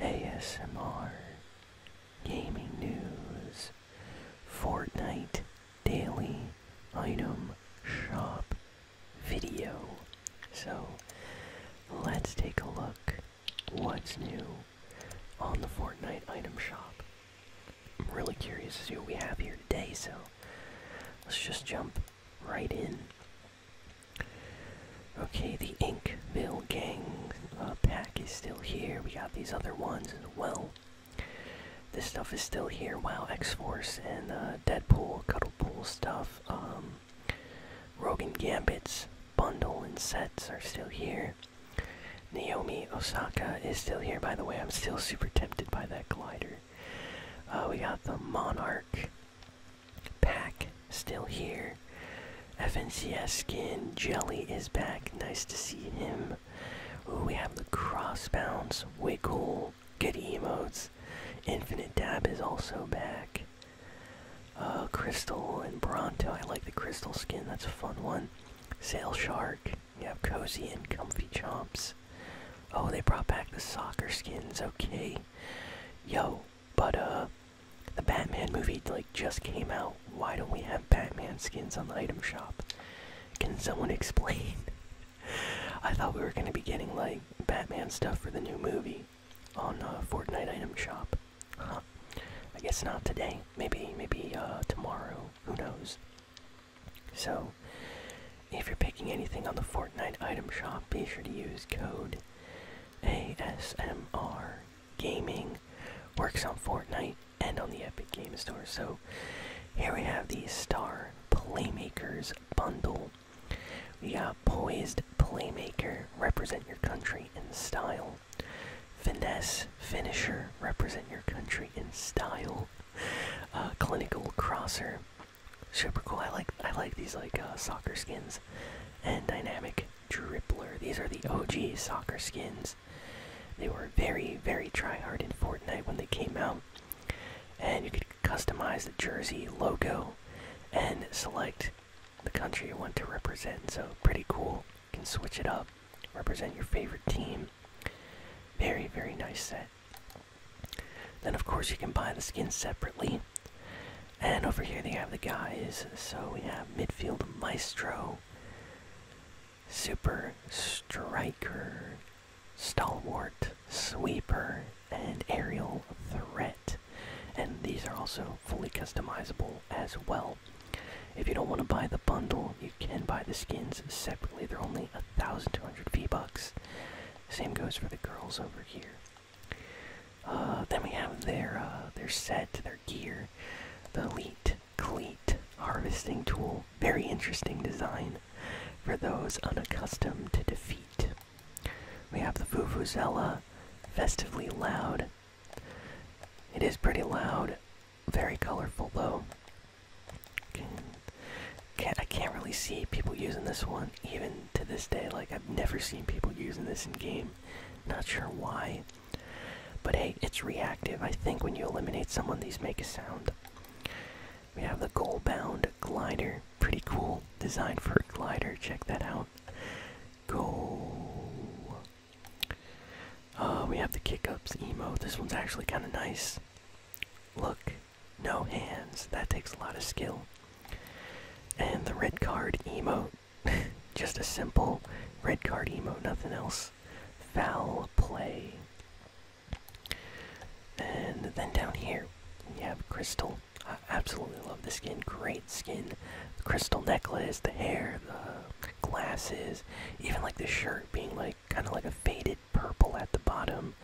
ASMR, gaming news, Fortnite daily item shop video. So let's take a look what's new on the Fortnite item shop. I'm really curious to see what we have here today, so let's just jump right in Okay, the Inkville Gang uh, pack is still here. We got these other ones as well. This stuff is still here. Wow, X Force and uh, Deadpool, Cuddlepool stuff. Um, Rogan Gambit's bundle and sets are still here. Naomi Osaka is still here, by the way. I'm still super tempted by that glider. Uh, we got the Monarch Pack still here. FNCS skin Jelly is back. Nice to see him. Oh, we have the cross bounce. Way cool. Good emotes. Infinite Dab is also back. Uh, Crystal and Bronto. I like the Crystal skin. That's a fun one. Sail Shark. You have Cozy and Comfy Chomps. Oh, they brought back the soccer skins. Okay. Yo, but uh, the Batman movie like just came out. Why don't we have Batman skins on the item shop? Can someone explain? I thought we were gonna be getting like Batman stuff for the new movie on uh, Fortnite item shop. I guess not today. Maybe maybe uh, tomorrow. Who knows? So, if you're picking anything on the Fortnite item shop, be sure to use code ASMR Gaming works on Fortnite and on the Epic Games Store. So here we have the Star Playmakers bundle. We got Poised Playmaker, represent your country in style. Finesse Finisher, represent your country in style. Uh, clinical Crosser, super cool. I like I like these like uh, soccer skins and dynamic Dribbler. These are the OG soccer skins. They were very, very try hard in Fortnite when they came out. And you could customize the jersey logo and select the country you want to represent. So, pretty cool. You can switch it up, represent your favorite team. Very, very nice set. Then, of course, you can buy the skins separately. And over here they have the guys. So we have midfield maestro, super striker, stalwart, sweeper, and aerial threat. And these are also fully customizable as well. If you don't want to buy the bundle, you can buy the skins separately. They're only 1,200 V-Bucks. Same goes for the girls over here. Uh, then we have their uh, their set, their gear, the leet cleat harvesting tool. Very interesting design for those unaccustomed to defeat. We have the Vuvuzela, festively loud. It is pretty loud, very colorful though. I can't really see people using this one, even to this day. Like I've never seen people using this in game. Not sure why. But hey, it's reactive. I think when you eliminate someone, these make a sound. We have the goal bound glider. Pretty cool. Designed for a glider. Check that out. Go. Uh, we have the kick ups emo. This one's actually kind of nice. Look, no hands. That takes a lot of skill. And the red card emo. Just a simple red card emo, nothing else. Foul play. And then down here, you have Crystal. I absolutely love the skin. Great skin. The crystal necklace, the hair, the glasses, even like the shirt being like kind of like a faded purple at the bottom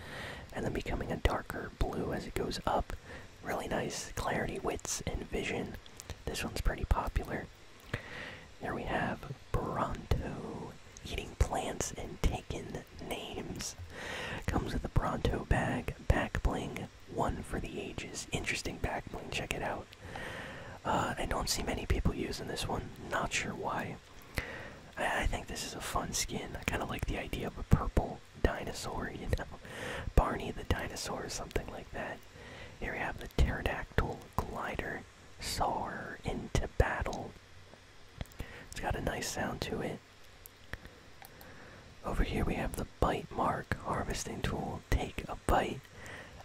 and then becoming a darker blue as it goes up. Really nice clarity, wits, and vision. This one's pretty popular. There we have Bronto eating plants and taking names. Comes with a Bronto bag, back bling, one for the ages. Interesting back bling, check it out. Uh, I don't see many people using this one, not sure why. I think this is a fun skin. I kind of like the idea of a purple dinosaur, you know, Barney the dinosaur, or something like that. Here we have the pterodactyl glider, soar into battle. It's got a nice sound to it. Over here we have the bite mark harvesting tool. Take a bite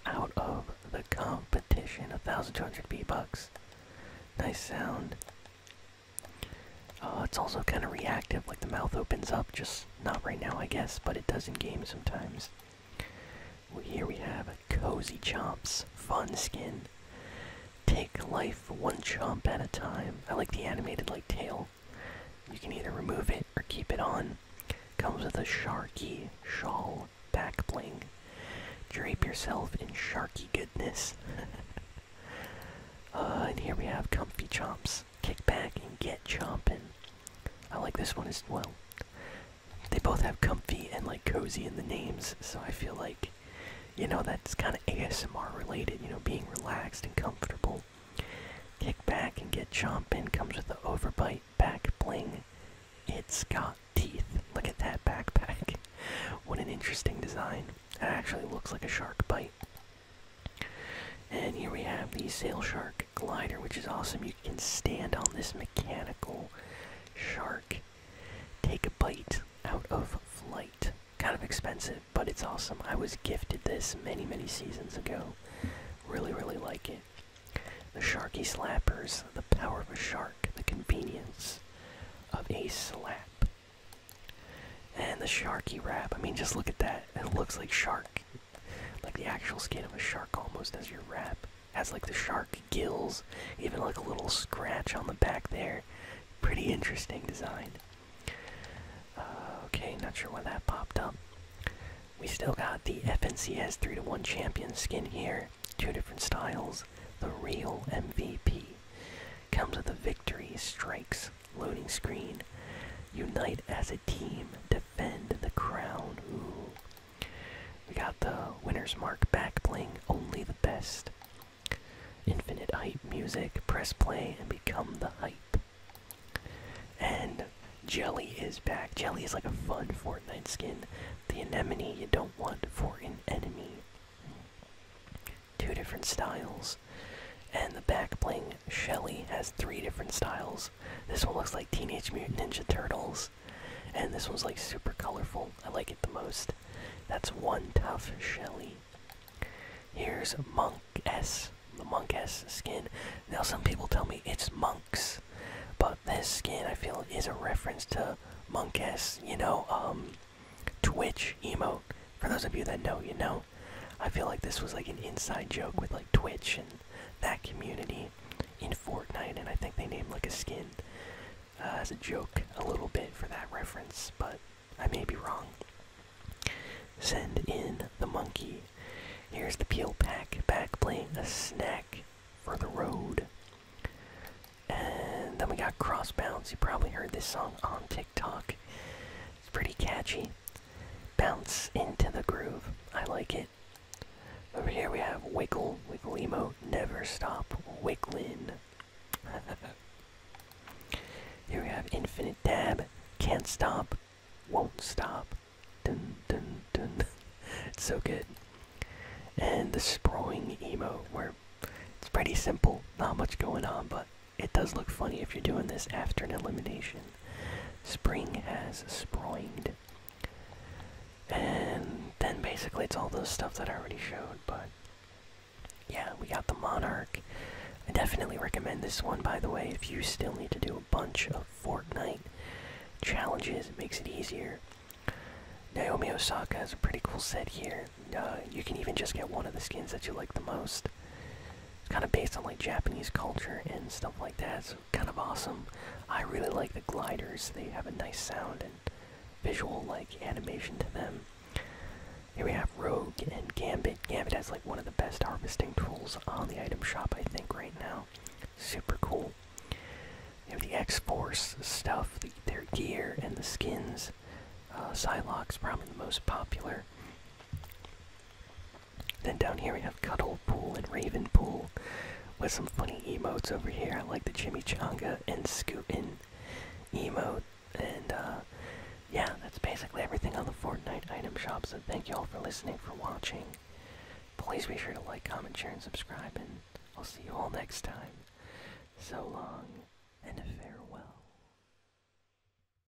out of the competition. 1,200 B bucks. Nice sound. Uh, it's also kind of reactive, like the mouth opens up, just not right now, I guess, but it does in games sometimes. here we have Cozy Chomps, fun skin. Take life one chomp at a time. I like the animated like tail. You can either remove it or keep it on. Comes with a Sharky shawl back bling. Drape yourself in Sharky goodness. Uh, and here we have Comfy Chomps. Kick back and get chompin'. I like this one as well. They both have comfy and like cozy in the names, so I feel like, you know, that's kind of ASMR related, you know, being relaxed and comfortable. Kick back and get chompin'. comes with the overbite back bling. It's got teeth. Look at that backpack. what an interesting design. It actually looks like a shark bite. And here we have the Sail Shark glider, which is awesome. You can stand on this mechanical shark, take a bite out of flight. Kind of expensive, but it's awesome. I was gifted this many, many seasons ago. Really, really like it. The Sharky Slappers, the power of a shark, the convenience of a slap. And the Sharky Wrap. I mean, just look at that. It looks like shark like the actual skin of a shark almost as your wrap. Has like the shark gills, even like a little scratch on the back there. Pretty interesting design. Uh, okay, not sure when that popped up. We still got the FNCS 3 to 1 champion skin here. Two different styles. The real MVP comes with the victory strikes Loading screen. Unite as a team. Defend the crown. Ooh. We got the winner's mark back playing only the best. Infinite hype music. Press play and become the hype. And Jelly is back. Jelly is like a fun Fortnite skin. The anemone you don't want for an enemy. Two different styles. And the back bling Shelly has three different styles. This one looks like Teenage Mutant Ninja Turtles, and this one's like super colorful. I like it the most. That's one tough Shelly. Here's Monk S, the Monk S skin. Now, some people tell me it's Monks, but this skin I feel is a reference to Monk S, you know, um, Twitch emo for those of you that know, you know, I feel like this was like an inside joke with like Twitch and that community in Fortnite, and I think they named like a skin uh, as a joke a little bit for that reference, but I may be wrong. Send in the monkey. Here's the peel pack back playing a snack for the road. And then we got Crossbounce. You probably heard this song on TikTok. It's pretty catchy bounce into the groove. I like it. Over here we have Wiggle, Wiggle emo. never stop wiggling. here we have Infinite Dab, can't stop, won't stop. Dun dun dun. it's so good. And the sprawling emo. where it's pretty simple, not much going on, but it does look funny if you're doing this after an elimination. Spring has sproinged. And then basically it's all those stuff that I already showed, but yeah, we got the Monarch. I definitely recommend this one, by the way, if you still need to do a bunch of Fortnite challenges. It makes it easier. Naomi Osaka has a pretty cool set here. Uh, you can even just get one of the skins that you like the most. It's kind of based on like Japanese culture and stuff like that. It's kind of awesome. I really like the gliders. They have a nice sound and visual like animation to them. Here we have Rogue and Gambit. Gambit has like one of the best harvesting tools on the item shop, I think, right now. Super cool. You have the X-Force stuff, their gear, and the skins. Uh, Psylocke's probably the most popular. Then down here we have Cuddle Pool and Raven Pool with some funny emotes over here. I like the Jimmy Chimichanga and Scootin emote. And uh, yeah, that's basically everything on the Fortnite item shop. So thank you all for listening, for watching. Please be sure to like, comment, share, and subscribe. And I'll see you all next time. So long and farewell.